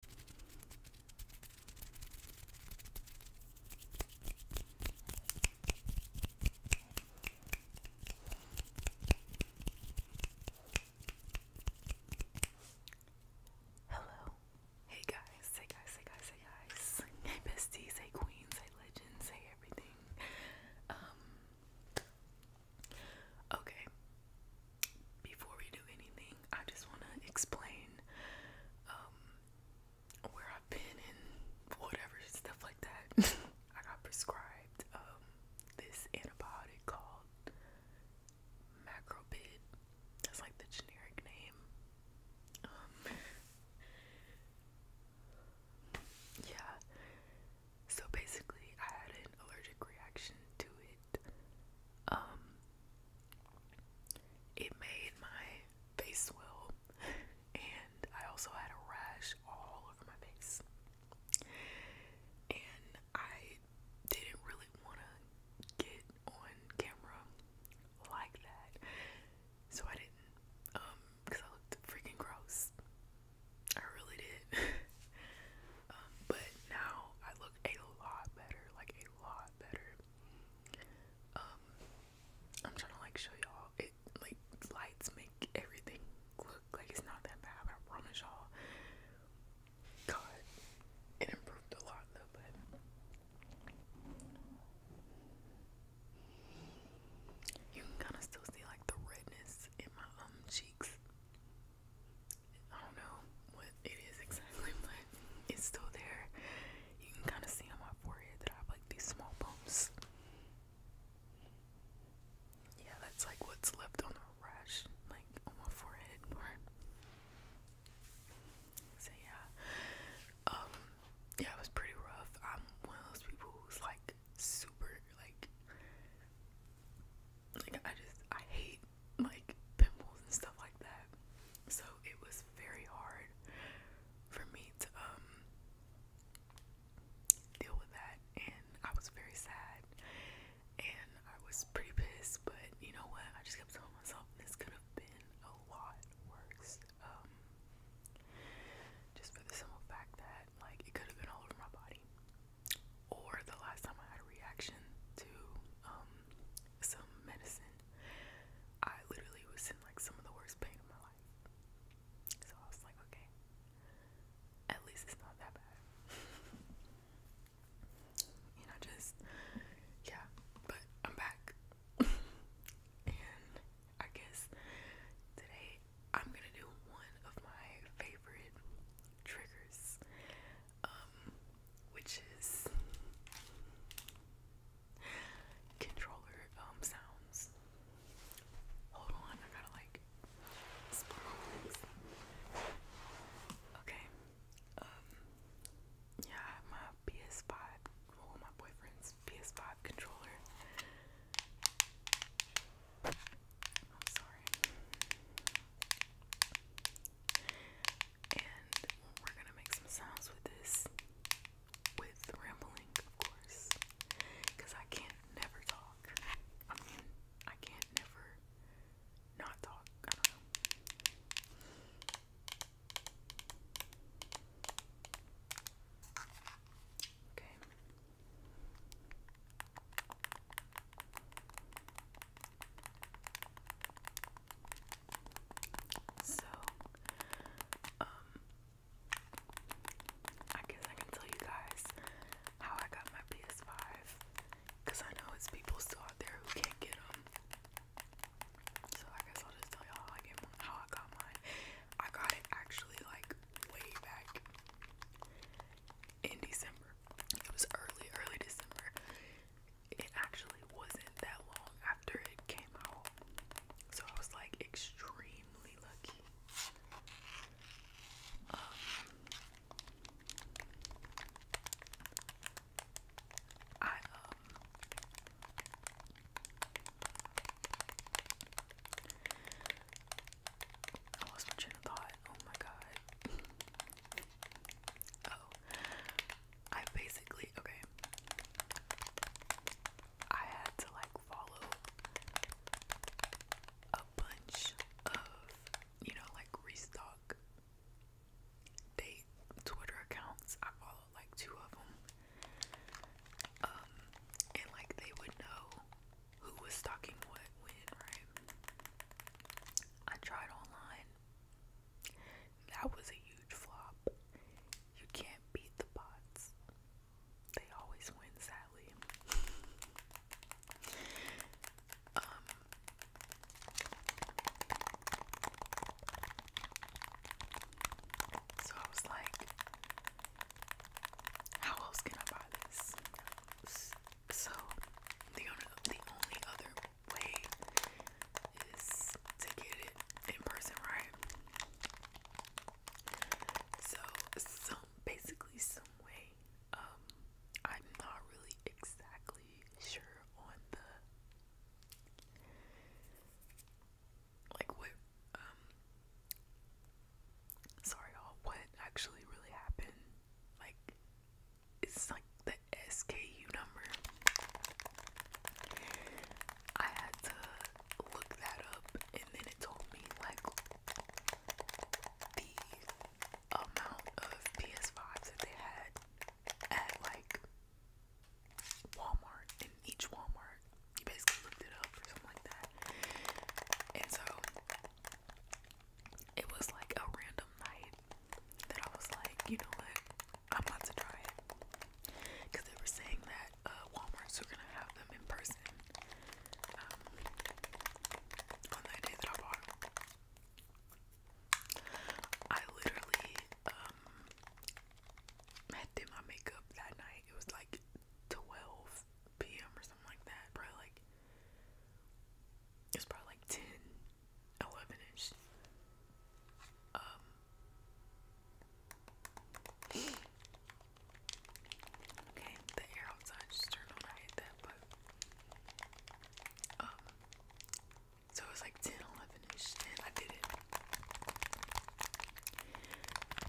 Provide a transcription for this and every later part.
Hello. Hey guys, hey guys, hey guys, hey guys. Hey besties, hey queens, hey legends, hey everything. Um Okay before we do anything, I just want to explain um, where I've been and whatever stuff like that. I got prescribed um, this antibiotic called Macrobid. That's like the generic name. Um, yeah. So basically, I had an allergic reaction to um, it made my face swell and I also had a rash all over my face and I didn't really want to get on camera like that so I didn't um because I looked freaking gross I really did um, but now I look a lot better like lot better. Um, I'm trying to like show y'all it like lights make everything look like it's not that bad. I promise y'all. God, it improved a lot though, but you can kind of still see like the redness in my um cheeks. I don't know what it is exactly, but it's still there. You can kind of see on my forehead that I have like these small bumps. Yeah, that's like what's left on the rash, like on my forehead So yeah, um, yeah, it was pretty rough. I'm one of those people who's like super like, like I just I hate like pimples and stuff like that. So it was very hard for me to um deal with that and I was very sad and I was pretty pissed but you know what I just kept telling myself this could have been a lot worse. Um just for the simple fact that like it could have been all over my body. Or the last time I had a reaction to um some medicine. I literally was in like some of the worst pain of my life. So I was like, okay, at least it's not that bad. you know, just, yeah, but I'm back. and I guess today I'm gonna do one of my favorite triggers um, which is controller um sounds. Hold on, I gotta like Okay, um, yeah, my PS5, well, my boyfriend's PS5 controller. I'm sorry and we're gonna make some sounds with this with rambling of course because I can't never talk I mean I can't never not talk okay so, um, I guess I can tell you guys how I got my PS5 because I know it's people still out there who can't get them. So, I guess I'll just tell y'all how I, get mine, how I got mine. I got it actually like way back in December. It was early, early December it actually wasn't that long after it came out. So I was like extremely lucky. Um, I um I lost my train of thought. Oh my god. Oh. I basically okay. I had to like follow a bunch of you know like restock date Twitter accounts. I followed like two of them. Um, and like they would know who was stocking what when, right? I tried online. That was a huge flop. You can't beat the bots. They always win, sadly. Um, so I was like, how else can I buy this? So the only, the only other way is to get it in person, right? So, some basically some way. Um, I'm not really exactly sure on the like what um, sorry y'all what actually really happened like it's like the SKU number. I had to look that up and then it told me like the amount of PS5s that they had at like Walmart in each Walmart. You basically looked it up or something like that. And so it was like a random night that I was like, you know what, I'm about to try it. Cause they were saying that uh, Walmart's were gonna have them in person um, on that day that I bought I literally um did my makeup that night. It was like 12 p.m. or something like that. Probably like it's probably like 10 11 um, Okay, the air outside just turned on. I hate but um, so it was like 10, 11 and I did it.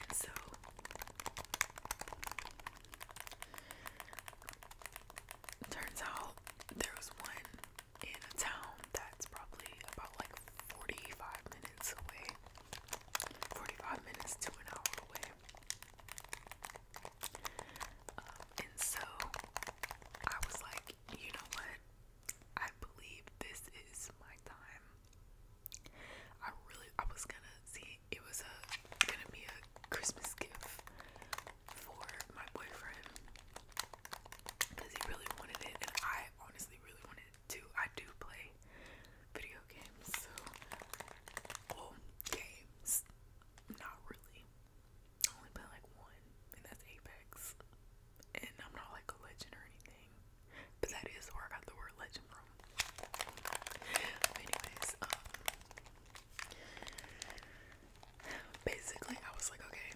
And so turns out there was one in a town that's probably about like 45 minutes away. 45 minutes to an hour away. Um, and so I was like, you know what? I believe this is my time. I really, I was gonna see it was a gonna be a Christmas gift for my boyfriend because he really wanted it, and I honestly really wanted too. I do play video games, so games, not really. I only play like one, and that's Apex. And I'm not like a legend or anything, but that is where I got the word legend from. Anyways, um, basically I was like, okay,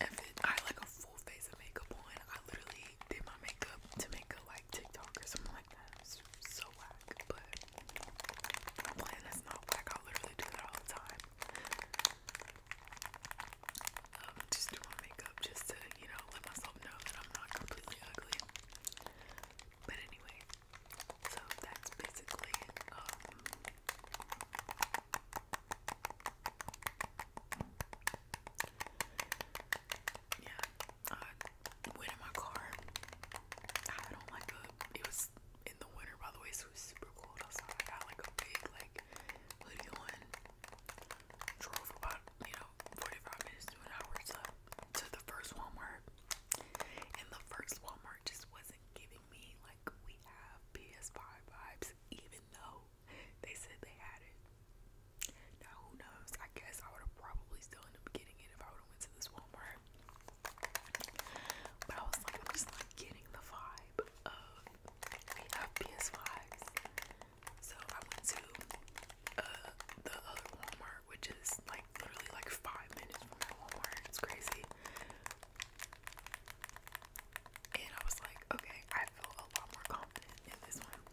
if I like a full face of makeup on. I literally did my makeup to make a like TikTok or something like that. so whack, but I'm playing not whack. I literally do that all the time. Um, just do my makeup just to, you know, let myself know that I'm not completely ugly. But anyway, so that's basically um, yeah, I went in my car. I don't like the. It was in the winter, by the way, so it was super cold I got like a big like hoodie on. Drove about you know forty five minutes to an hour to to the first Walmart, and the first Walmart just wasn't giving giving me like we have PS5 vibes, even though they said they had it. Now who knows? I guess I would have probably still ended up getting it if I would have went to this Walmart. But I was like, I'm just like getting the vibe of we have PS5s. So I went to uh, the other Walmart, which is like literally like five minutes from my Walmart. It's crazy and I was like, okay, I feel a lot more confident in this one.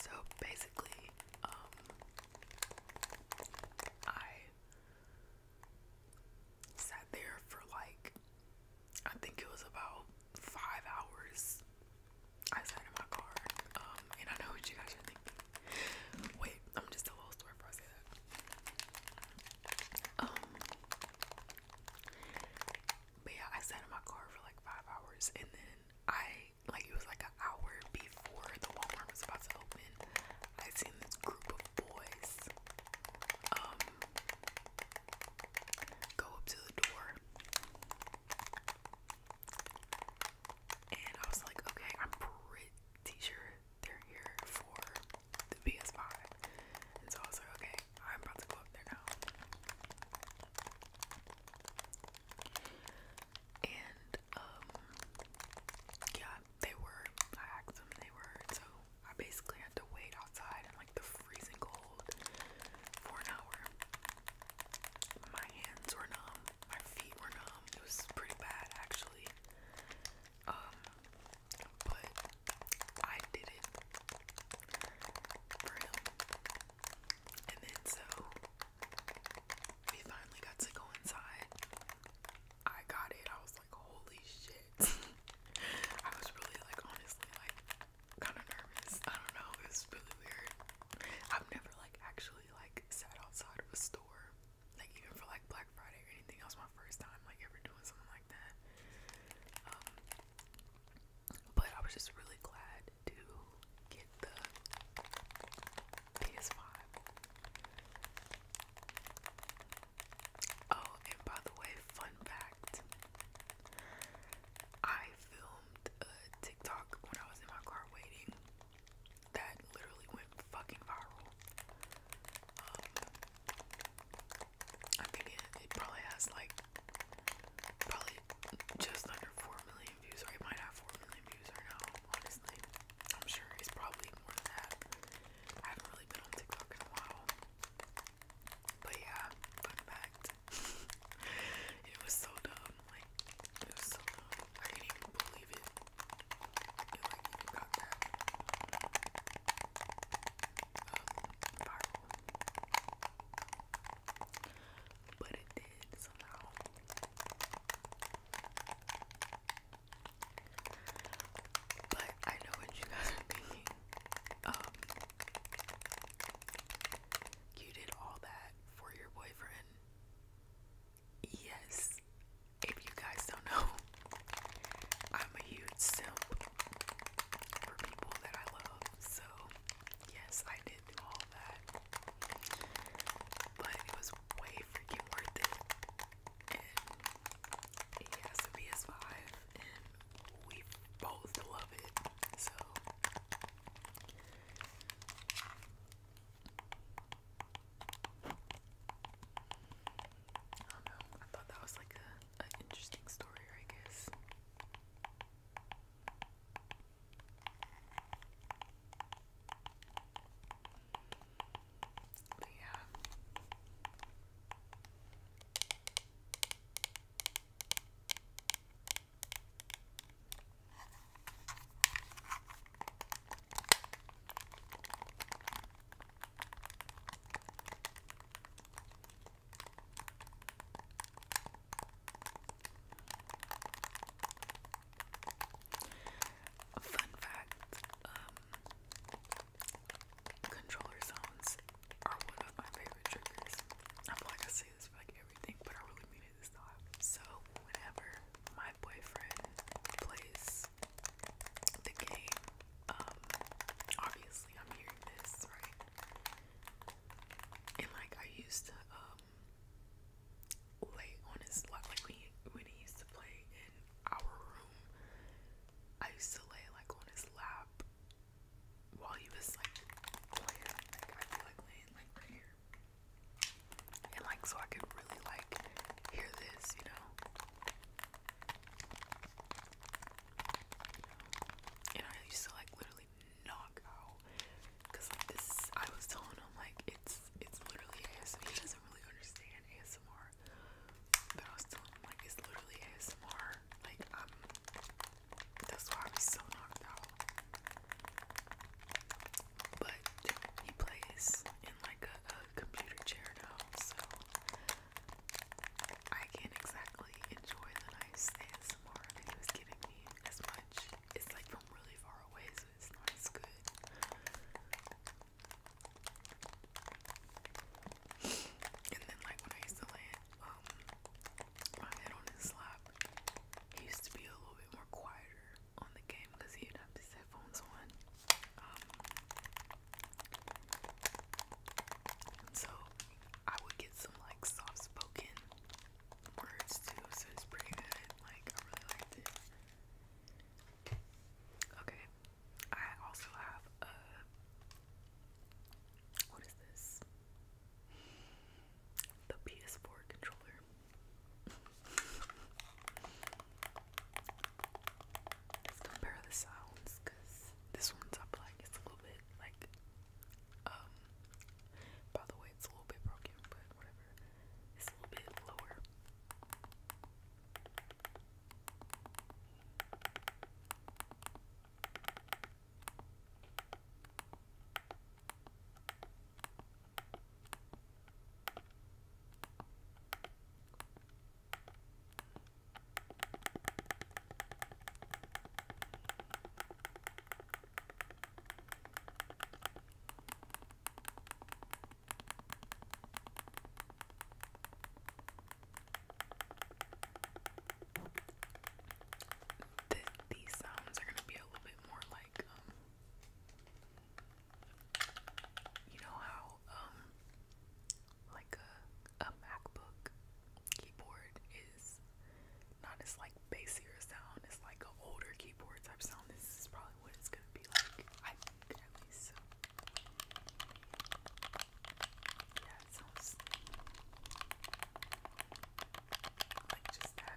So basically, um, I sat there for like, I think it was about five hours. I sat in my car, um, and I know what you guys are thinking. Wait, I'm just a little story for a um, but yeah, I sat in my car for like five hours, and then I like it was like an hour before the Walmart was about to open. I seen this group of boys um, go up to the door. And I was like, okay, I'm pretty sure they're here for the PS5. And so okay, I'm about to go up there now. And um yeah, they were I asked them they were so I basically had to wait outside in like the freezing cold for an hour. My hands were numb, my feet were numb. It was pretty bad actually. Um, but I did it And then so we finally got to go inside. I got it. I was like, holy shit. I was really like honestly like kind of nervous. I don't know. It was really weird. I've never like actually like sat outside of a store like even for like Black Friday or anything else, my first time like ever doing something like that. Um, but I was just really glad to get the PS5. Oh, and by the way, fun fact I filmed a TikTok when I was in my car waiting that literally went fucking viral. Um, I think it, probably has like probably just under four million views, or it might have four million views right now. Honestly, I'm sure he's probably more than that. I haven't really been on TikTok in a while, but yeah, fun fact. it was so dumb, like it was so dumb. I can't even believe it. But it did somehow. But I know what you guys are thinking. Um, you did all that for your boyfriend. Yes, if you guys don't know, I'm a huge simp for people that I love. So, yes, I did do all that. But it was way freaking worth it. And he a PS5, and we both love it. So, I don't know. I thought that was like a an interesting story, I guess. But yeah. Fun fact, um, controller sounds are one of my favorite triggers. I feel like I say this for like everything, but I really mean it this time. So whenever my boyfriend plays the game. Um, obviously, I'm hearing this, right? And like, I used to um lay on his lap, like when when he used to play in our room. I used to lay like on his lap while he was like playing. I'd like laying like right here, and like so I could really like hear this, you know. And I used to like literally knock out because like this I was telling him like it's it's literally ASMR. He doesn't really understand ASMR. But I was telling him like it's literally ASMR. Like um that's why I was so knocked out. But he plays in like a, computer chair now, so I can't exactly enjoy the nice ASMR that he was giving me as much. It's like from really far away, so it's not as good. And then, like, when I used to lay um, my head on his lap, he used to be a little bit more quieter on the game because he'd have his headphones on. Um, so I would get some like soft spoken words too, so it's pretty good. Like I really liked it. Okay. I also have a what is this? The PS4 controller. Let's compare the sounds because this one's up like it's a little bit like um, by the way it's a little bit broken but whatever it's a little bit lower the, these sounds are going to be a little bit more like um, you know how um like a a MacBook keyboard is not as like bassier sound, it's like older keyboard type sound. This is probably what it's gonna be like. I think at least. like just that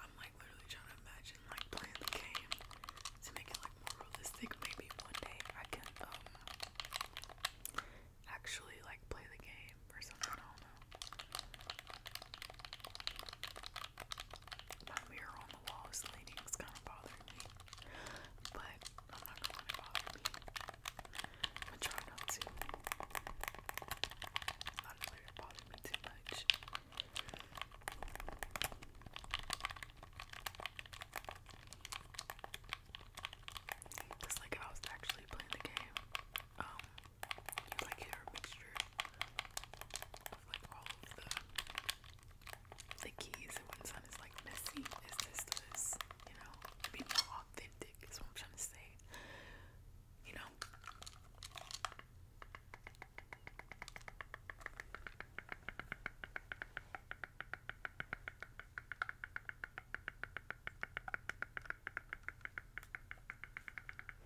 I'm like literally trying to imagine like playing the game to make it like more realistic. Maybe one day I can um, actually like play the game or something. I don't know. My mirror on the wall is leaning, it's kind of bothering me. But I'm not gonna bother me. I'm going not to. Not to let it bother me too much. Just like if I was actually playing the game, um, like hear mixture like the keys, and one sound is like messy, is this you know, be more authentic. That's what I'm trying to say. You know?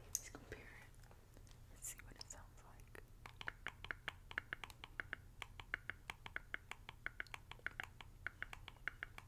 Let's compare it. Let's see what it sounds like.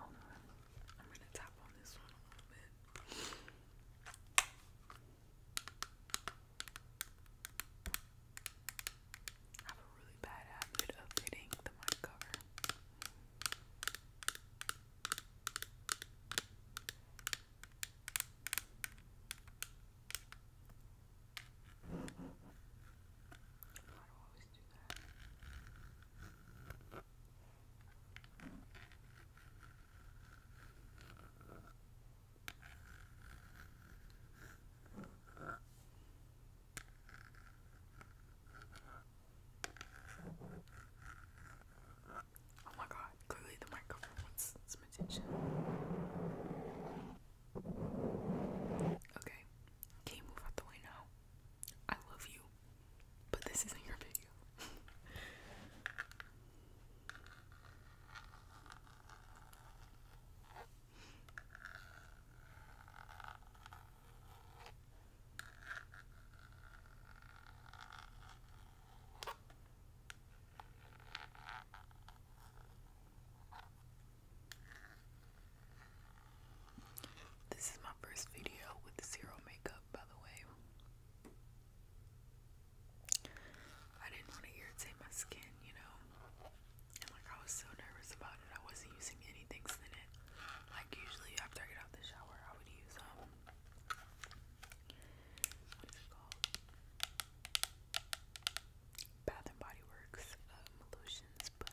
I'm gonna tap on this one a little bit. I have a really bad habit of hitting the mic cover. Oh my god, clearly the microphone wants some attention. Okay, can you move out the way now? I love you, but this isn't your video. This is my first video with zero makeup, by the way. I didn't want to irritate my skin, you know. And like I was so nervous about it, I wasn't using anything it. Like usually after I get out the shower, I would use um Bath and Body Works um, lotions, but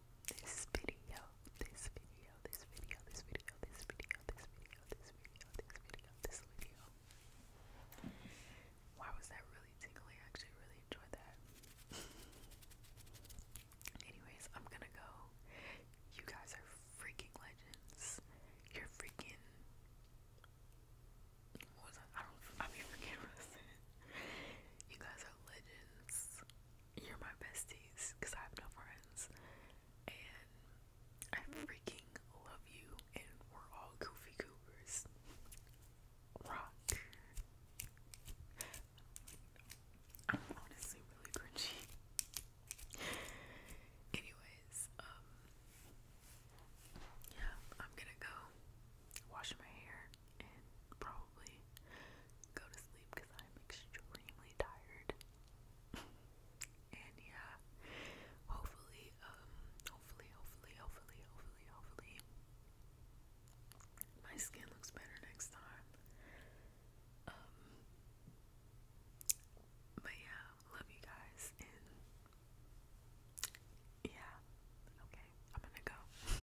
this video, this video, this video, this video, this video, this video, this video, this video, this video. Why was that really tingly? I actually really enjoyed that. Anyways, I'm gonna go. You guys are freaking legends. You're freaking. What was I? I don't. I mean, forget what I said. You guys are legends you're my besties because I have no friends, and I freaking love you, and we're all goofy goobers. Rock. I'm honestly really cringy. Anyways, um, yeah, I'm gonna go wash my hair and probably go to sleep because I'm extremely tired. and yeah, um, hopefully, hopefully, hopefully, hopefully, hopefully, my skin looks better next time. Um, but yeah, love you guys, and yeah, okay, I'm gonna go.